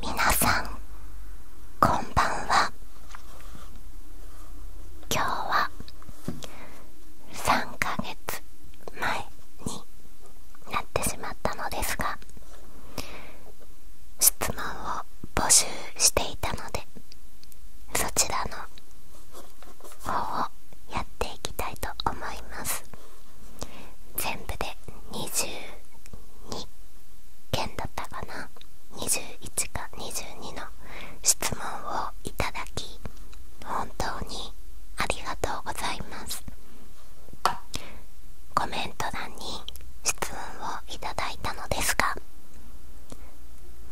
皆さんこんばんは今日は3ヶ月前になってしまったのですが質問を募集していたのでそちらの方をやっていきたいと思います全部で22件だったかな21か22の質問をいただき本当にありがとうございますコメント欄に質問をいただいたのですが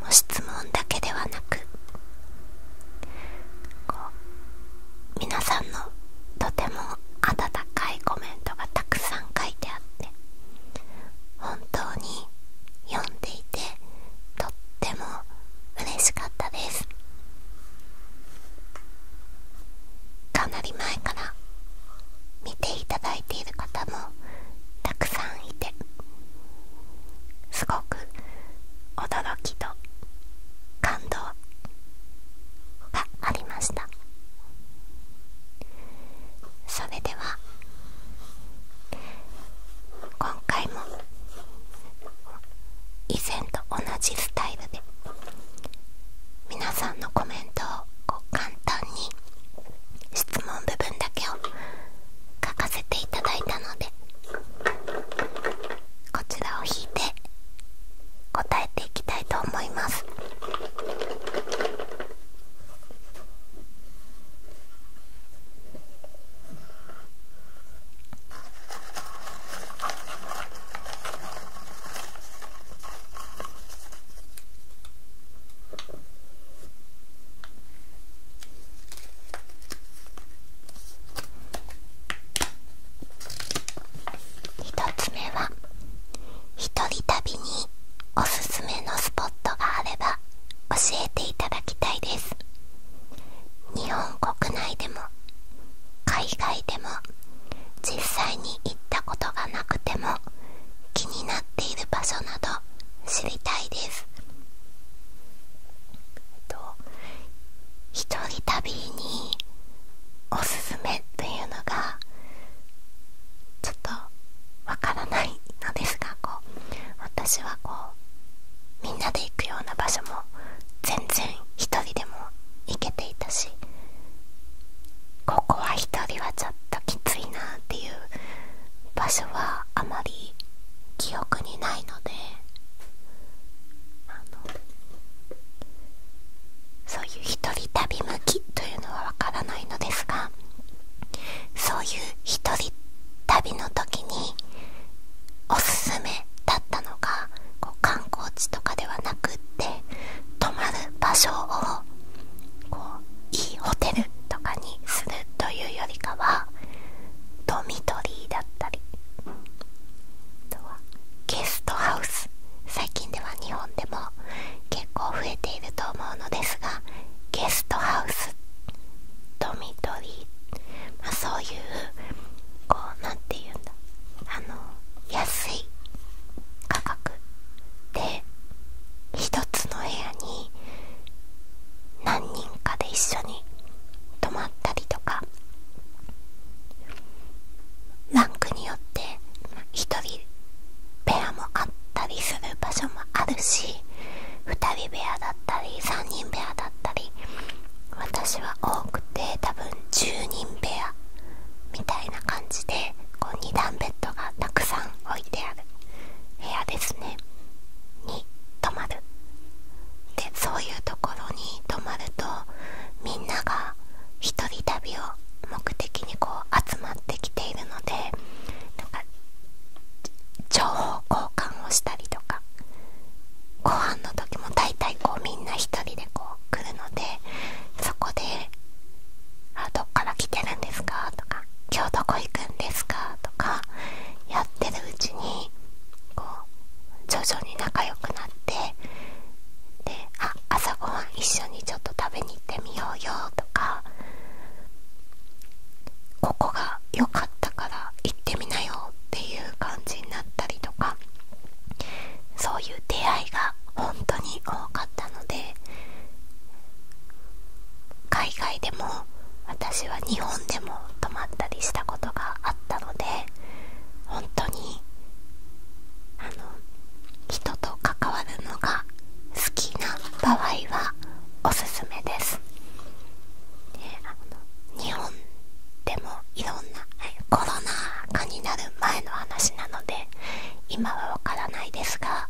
もう質問だけではなくこう皆さんのとても温かいコメントがたくさん書いてあって本当に読んでいてとっても嬉しかったですかなり前から見ていただいている方もたくさんいてすごく驚きと感動がありましたそれでは今回も以前と同じスタイルで皆さんのコメントをこう簡単に質問部分だけを書かせていただいたのでこちらを引いて答えていきたいと思います1つ目は一人旅におすすめのスポットがあれば教えていただきたいです日本国内でも海外でも実際に行ったことがなくても気になっている場所など知りたいですと一人旅におすすめっていうのがちょっとわからないのですがこう私はこうみんなで行くような場所も全然一人でも行けていたしここは一人はちょっときついなっていう場所はあまり記憶にないのでそういう一人旅向きというのはわからないのですがそういう一人旅の時におすすめだったのがこう観光地とかではなくって泊まる場所をいいホテルとかにするというよりかはドミトリーだったりゲストハウス最近では日本でも結構増えていると思うのですがゲストハウスドミトリー、まそういうこうなんて言うんだあの安い価格で1つの部屋に何人かで一緒に泊まったりとかランクによって1人ペアもあったりする場所もあるし2人部屋だったり3人部屋だったり私は多くて多分10人部屋みたいな感じでこう2段ベッドがたくさん置いてある部屋ですねに泊まるでそういうところに泊まるとみんなが一人旅を目的にこう集まってきているので情報交換をしたりとかご飯の時も大体こうみんな一人でこう来るのでそこで「どっから来てるんですか?」とか「今日どこ行くんですか?」とかやってるうちにこう徐々に仲良くなってで朝ごはん一緒にちょっと食べに行ってみようよとかここが良かったから行ってみなよっていう感じになったりとかそういう出会いが本当に多かったので海外でも私は日本でも泊まったりしたことがあったので本当にあの人と関わるのが好きな場合はおすめですであの日本でもいろんなコロナ禍になる前の話なので今はわからないですが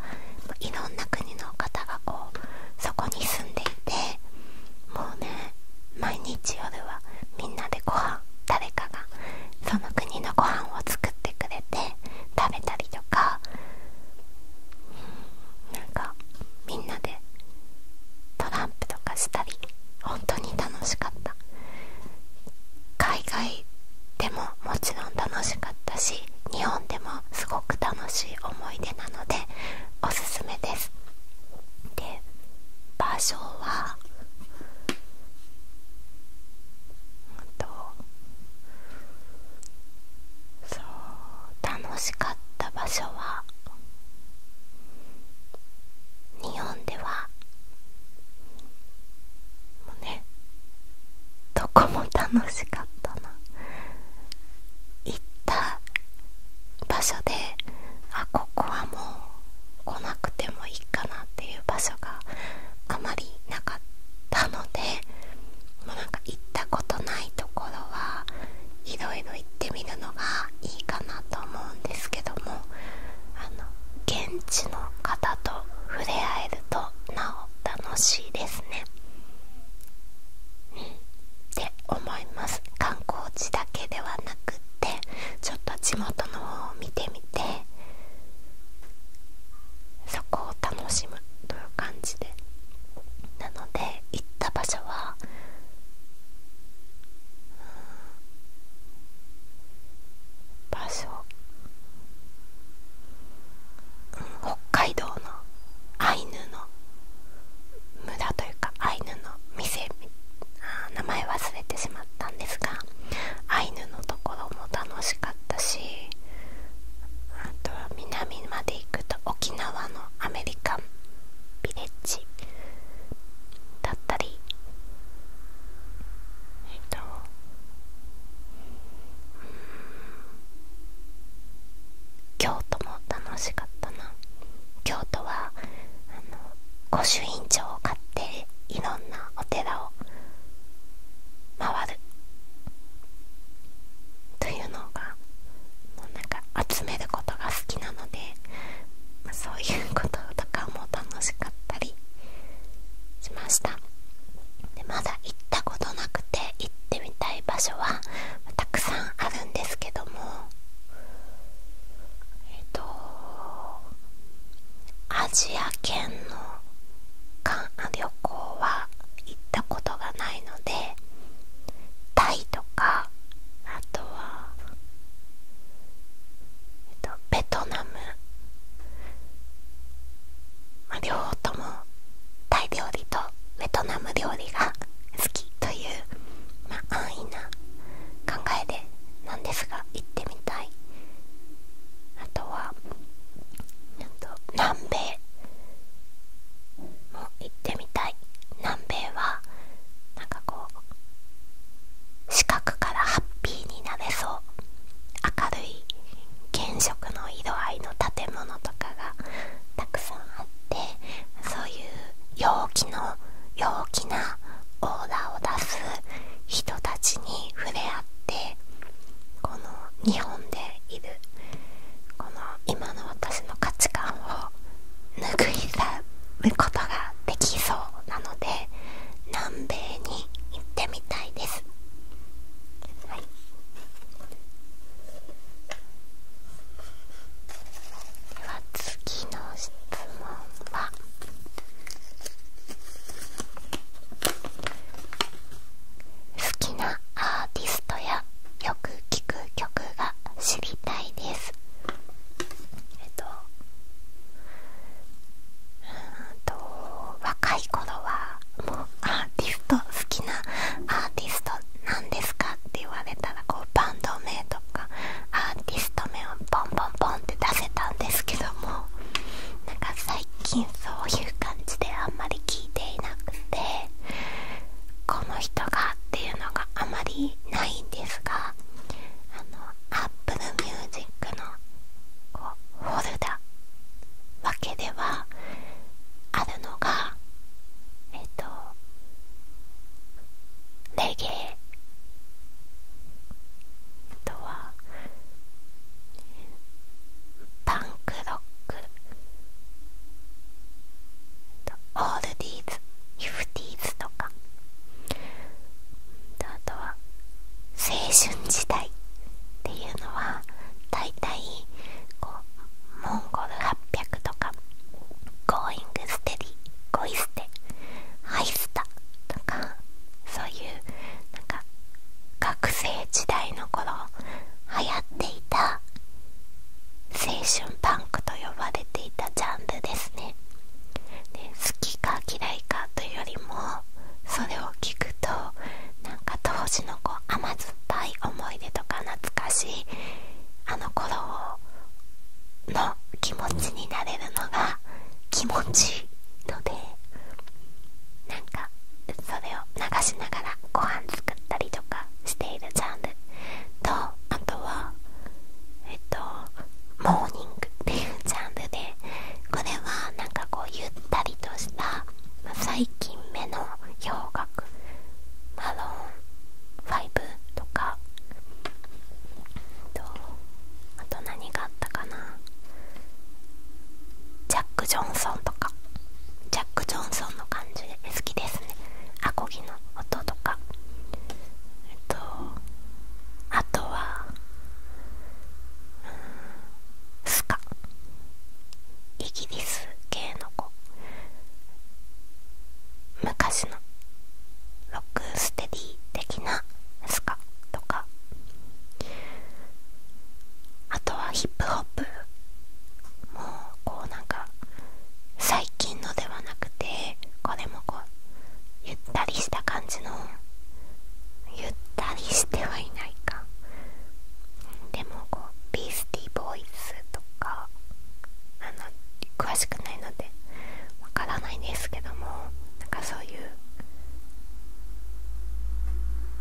いろんな国の方がこうそこに住んでいてもうね毎日夜はみんなでご飯誰かがその国のご飯を作ってくれて食べたりとかなんかみんなでトランプとかしたり本当に楽しかった海外でももちろん楽しかったし日本でもすごく楽しい思い出なのでおすすめですで場所はうんとそう楽しかった場所は日本ではもうねどこも楽しかったな行った場所であここはもう来なくてもいいかなっていう場所があまりなかったのでもうなんか行ったことないところはいろいろ行ってみるのがいいかなと思うんですけどもあの現地の方と触れ合えるとなお楽しいですね。って思います観光地だけではなくてちょっと地元の方を見てみてそこを楽しむという感じでなので行った場所は場所、うん、北海道のアイヌの無駄というかアイヌの店あ名前忘れてしまったんですがアイヌのところも楽しかったしあとは南まで行くと沖縄のアメリカンビレッジだったりえっと京都も楽しかったな京都はあの御朱印帳を買っていろんなお寺を回るというのがもうなんか集めることが好きなので、そういうこととかも楽しかったりしましたでまだ行ったことなくて行ってみたい場所はたくさんあるんですけどもえっとアジア圏の旅行は行ったことがないのでタイとかあとは、えっと、ベトナム、まあ、両方ともタイ料理とベトナム料理が好きという、ま安易な考えでなんですが行ってみたいあとは南米も行ってみたい南米はなんかこう四角からハッピーになれそう明るい原色の色合いの建物とかがたくさんあっっそういう陽気の陽気なオーラを出す人たちに触れ合ってこの日本でいるこの今の私の価値観を拭い去ることができそうなので南米に行ってみたいです。はいでは次の質問は好きなアーティストやよく聴く曲が知りたいですえっとうんと若い頃はもうアーティスト好きなアーティストなんですかって言われたらこうバンド名とかアーティスト名をポンポンポンって出せたんですけどもなんか最近そういう感じであんまり聞いていなくてこの人がっていうのがあまりないんですがあの Apple Music のこうフォルダわけではあるのがえっ、とレゲエあとはパンクロックオールディーズヒフティーズとかあとは青春時代っていうのは大体こうモンゴル800とかゴーイングステディゴイステハイスタとかそういうなんか学生時代の頃流行っていた青春パンクと呼ばれていたジャンルですねで好きか嫌いかというよりもそれを聞くとなんか当時のこう甘酸っ酸い思い出とか懐かしいあの頃の気持ちになれるのが気持ちいいのでなんかそれを流しながらご飯作ったりとかしているジャンルとあとはえっとモーニングっていうジャンルでこれはなんかこうゆったりとした最最目の洋楽マロン5とかとあと何があったかなジャック・ジョンソンとかジャック・ジョンソンの感じで好きですねアコギの音とかえっとあとは、うん、スカイギリス系の子昔のロックステディ的なスカとかあとはヒップホップもうこうなんか最近のではなくてこれもこうゆったりした感じのゆったりしてはいないかでもこうビースティーボーイズとかあの詳しくないのでわからないんですけどもなんかそういう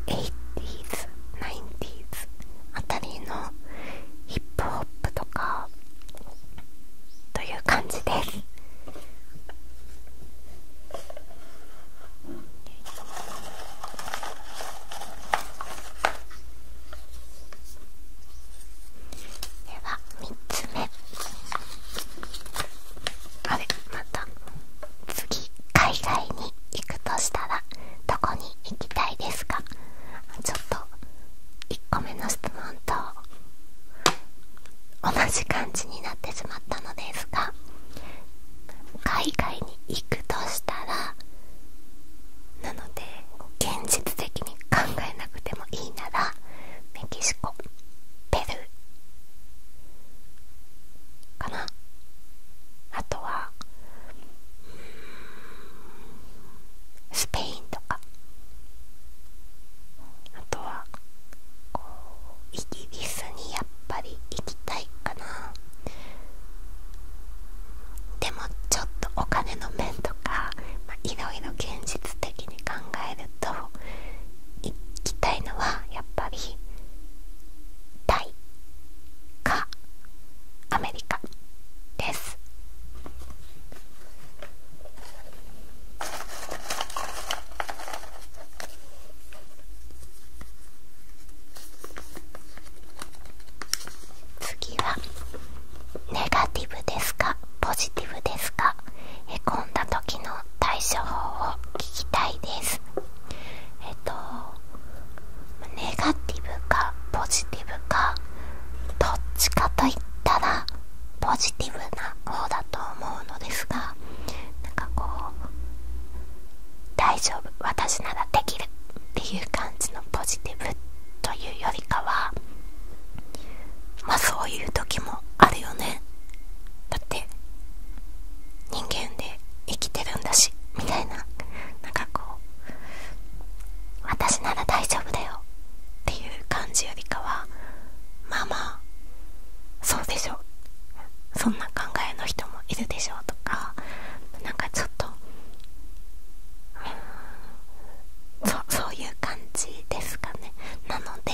80s、90s あたりのヒップホップとかという感じです。では3つ目あれまた次海外に行くとしたらどこに行きたいですかちょっと1個目の質問と同じ感じになってしまったのですが海外に行くとしたらなので現実的に考えなくてもいいならメキシコペルーかなあとはスペインとかあとはイギリスにやっぱり行きたいかなでもちょっとお金の面とか、まあ、いろいろ現実的に考えると行きたいのはやっぱり大かアメリカです。次はネガティブですかポジティブですかへこんだ時の対処法を聞きたいですえっとネガティブかポジティブかどっちかといったらポジティブな方だと思うのですがなんかこう大丈夫私ならできるっていう感じのポジティブというよりかはまあそういう時もあるよねだって人間で生きてるんだしみたいななんかこう私なら大丈夫だよっていう感じよりかはまあまあそうでしょそんな考えの人もいるでしょうとかなんかちょっと、そういう感じですかねなので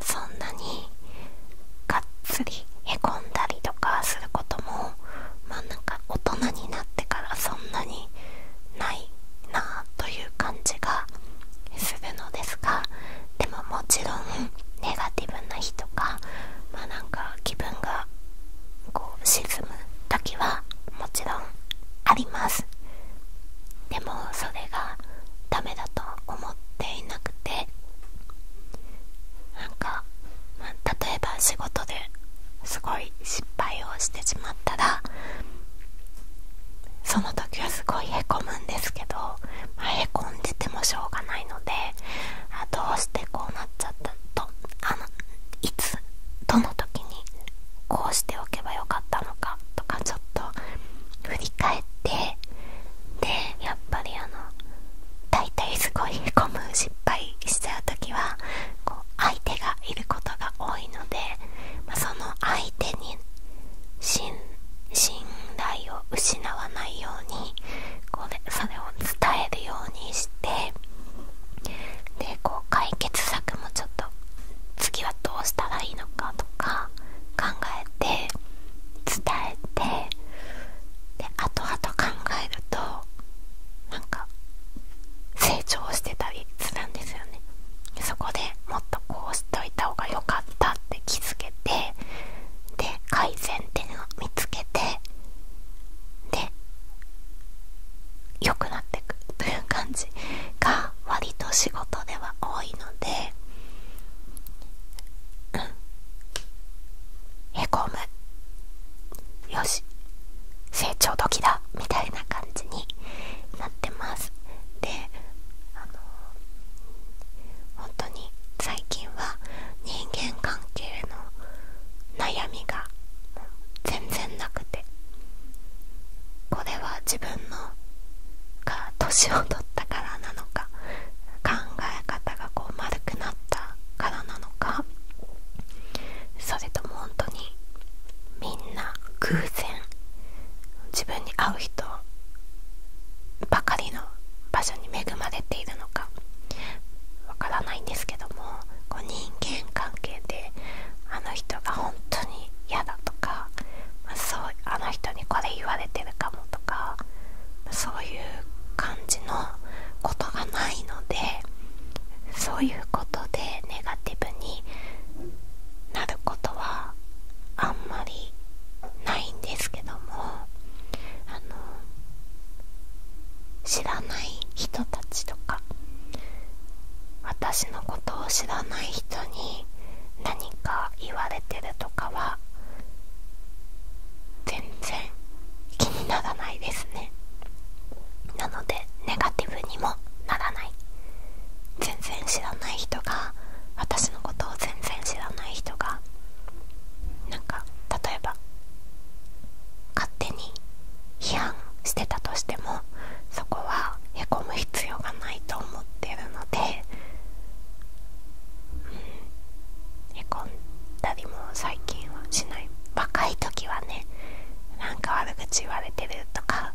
そんなにがっつりへこんだりとかすることもまあなんか大人になってからそんなにないなあという感じがするのですがでももちろんネガティブな日とかまなんか気分がこう沈む時はもちろんありますでもそれがダメだと思っていなくてなんか、ま例えば仕事ですごい失敗をしてしまったらその時はすごいへこむんですけど、まあ、へこんでてもしょうがないのであどうしてこうなっちゃったとあのいつどの時にこうしておけばよかったのかとかちょっと振り返ってでやっぱりあの大体すごいへむ失敗しちゃう時はこう相手がいることが多いので、まその相手に信頼を失わないようにこれそれを伝えるようにしでこう解決策もちょっと次はどうしたらいいのかとか考えて伝えてで後々考えるとなんか成長してたりするんですよねそこでもっとこうしといた方が良かったって気づけてで改善点を見つけてで良くなってくという感じが割と仕事では多いのでうんへこむよし成長時だみたいな感じになってますであのー、本当に最近は人間関係の悩みが全然なくてこれは自分が年を取ったからなのか考え方が丸くなったからなのかそれとも本当にみんな偶然自分に会う人ばかりの場所に恵まれているのか。のかわからないんですけどもこう人間関係であの人が本当に嫌だとか、まあ、そうあの人にこれ言われてるかもとか、そういう感じのことがないのでそういうことでネガティブになることはあんまりないんですけどもあの知らない人たちとか私のことを知らない人に何か言われてるとかは全然気にならないですねなのでネガティブにもならない全然知らない人が私のことを全然知らない人がなんか例えば勝手に批判してたとしてもそこはへこむ必要がないと思ってるので、うん、へこんだりも最近はしない若い時はねなんか悪口言われてるとか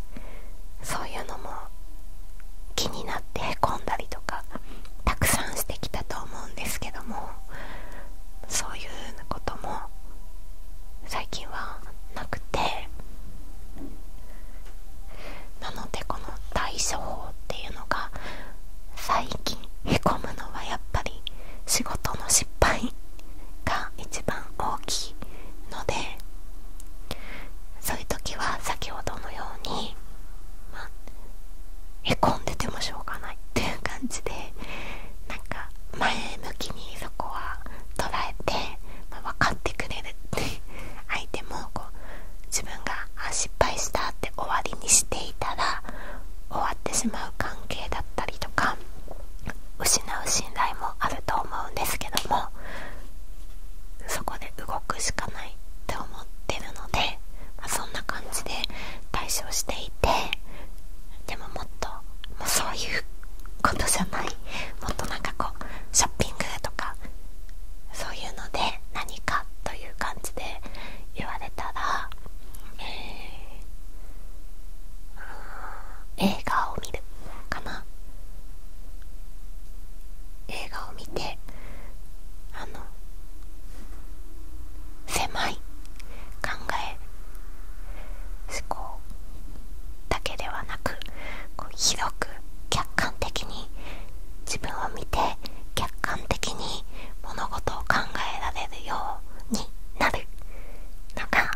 そういうのも気になってへこんだりとかたくさんしてきたと思うんですけどもそういうことも最近はなくてなのでこの対処法っていうのが最近へこむのはやっぱり仕事の失敗が一番大きいのでそういう時は先ほどのように、まあ、へんでてもしょうがないっていう感じでなんか前向きにそこは捉えて、ま分かってくれるって相手もこう自分があ失敗したって終わりにしていたら終わってしまう関係だったりとか失う信頼もあると思うんですけどもそこで動くしかないって思ってるのでまそんな感じで対処していてでももっともそういうことじゃないもっとなんかこうショッピングとかそういうので何かという感じで言われたら、え映画を見るかな映画を見てあの狭い考え思考だけではなくこう広く客観的に自分を見て客観的に物事を考えられるようになるのが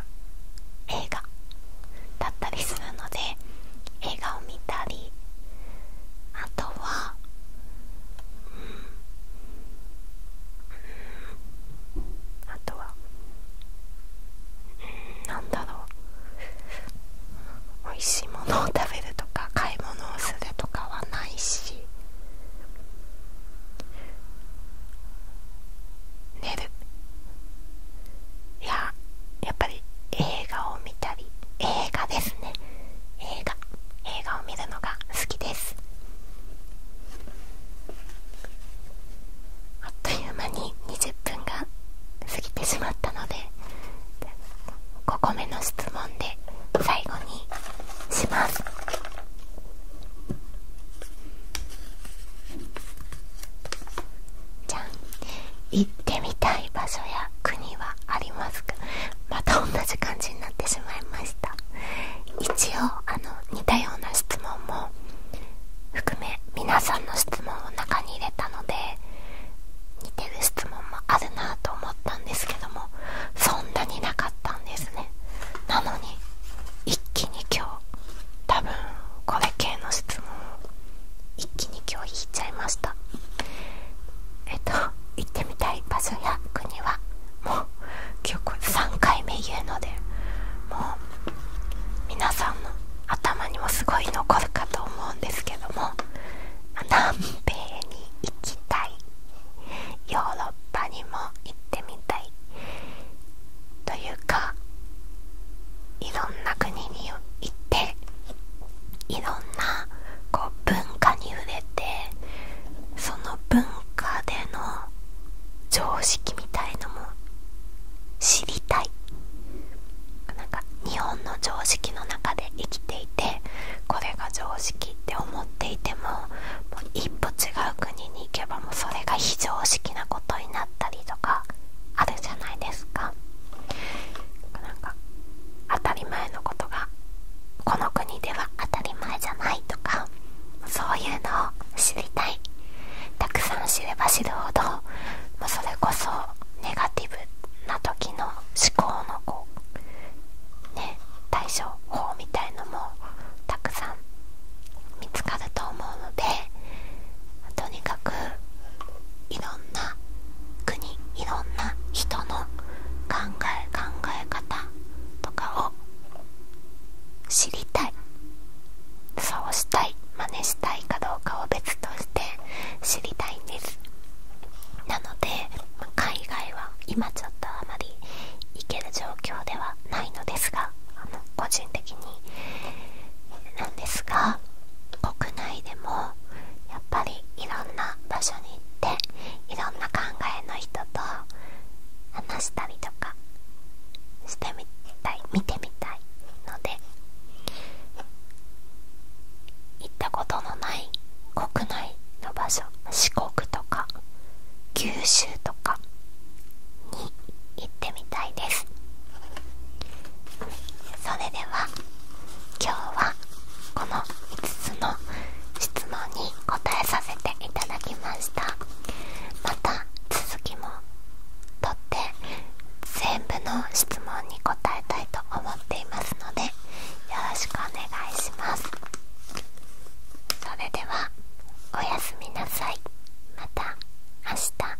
映画だったりするので映画を見たりあとは、うん、あとはなんだろう美味しいものを食べるとか買い物をするとかはないし寝るいややっぱり映画を見たり映画ですね映画映画を見るのが好きですあっという間に20分が過ぎてしまったので5個目の質問で最後にしますじゃん行ってみたい場所や国はありますがまた同じ感じになってしまいました一応あの似たような質問も含め皆さんの質問を中に入れたので似てる質問もあるなと思ったんですけどもそんなになかったんですねなのに一気に今日多分これ系の質問を一気に今日引いちゃいましたえっと行ってみたい場所や国はもう結構3回目言うのでもう皆さんの頭にもすごい残るかと思うんですけども南米に行きたいヨーロッパにも行ってみたいというかいろんな国に行っていろんなこう文化に触れてその文化での常識みたいのも知りたいなんか日本の常識の中で生きていてこれが常識って思っていてももう一歩違う国に行けばもうそれが非常識なことになったりとかあるじゃないですか。なんか当たり前のことがこの国では当たり前じゃないとかそういうのを知りたいたくさん知れば知るほど、まそれこそネガティブな時の思考のこうね対処法みたいのもたくさん見つかると思うのでとにかくいろんな国いろんな人の考え考え方とかを知りたいそうしたい真似したいかどうかを別として知りたいんですなので海外は今ちょっとあまり行ける状況ではないのですがあの個人的になんですが国内でもっぱりいろんな場所に行っていろんな考えの人と話したりとかしてみたい見てみたいので行ったことのない国内の場所四国とか九州とかに行ってみたいです。それでは今日はこの5つの質問に答えさせていただきましたまた続きもとって全部の質問に答えたいと思っていますのでよろしくお願いしますそれではおやすみなさいまた明日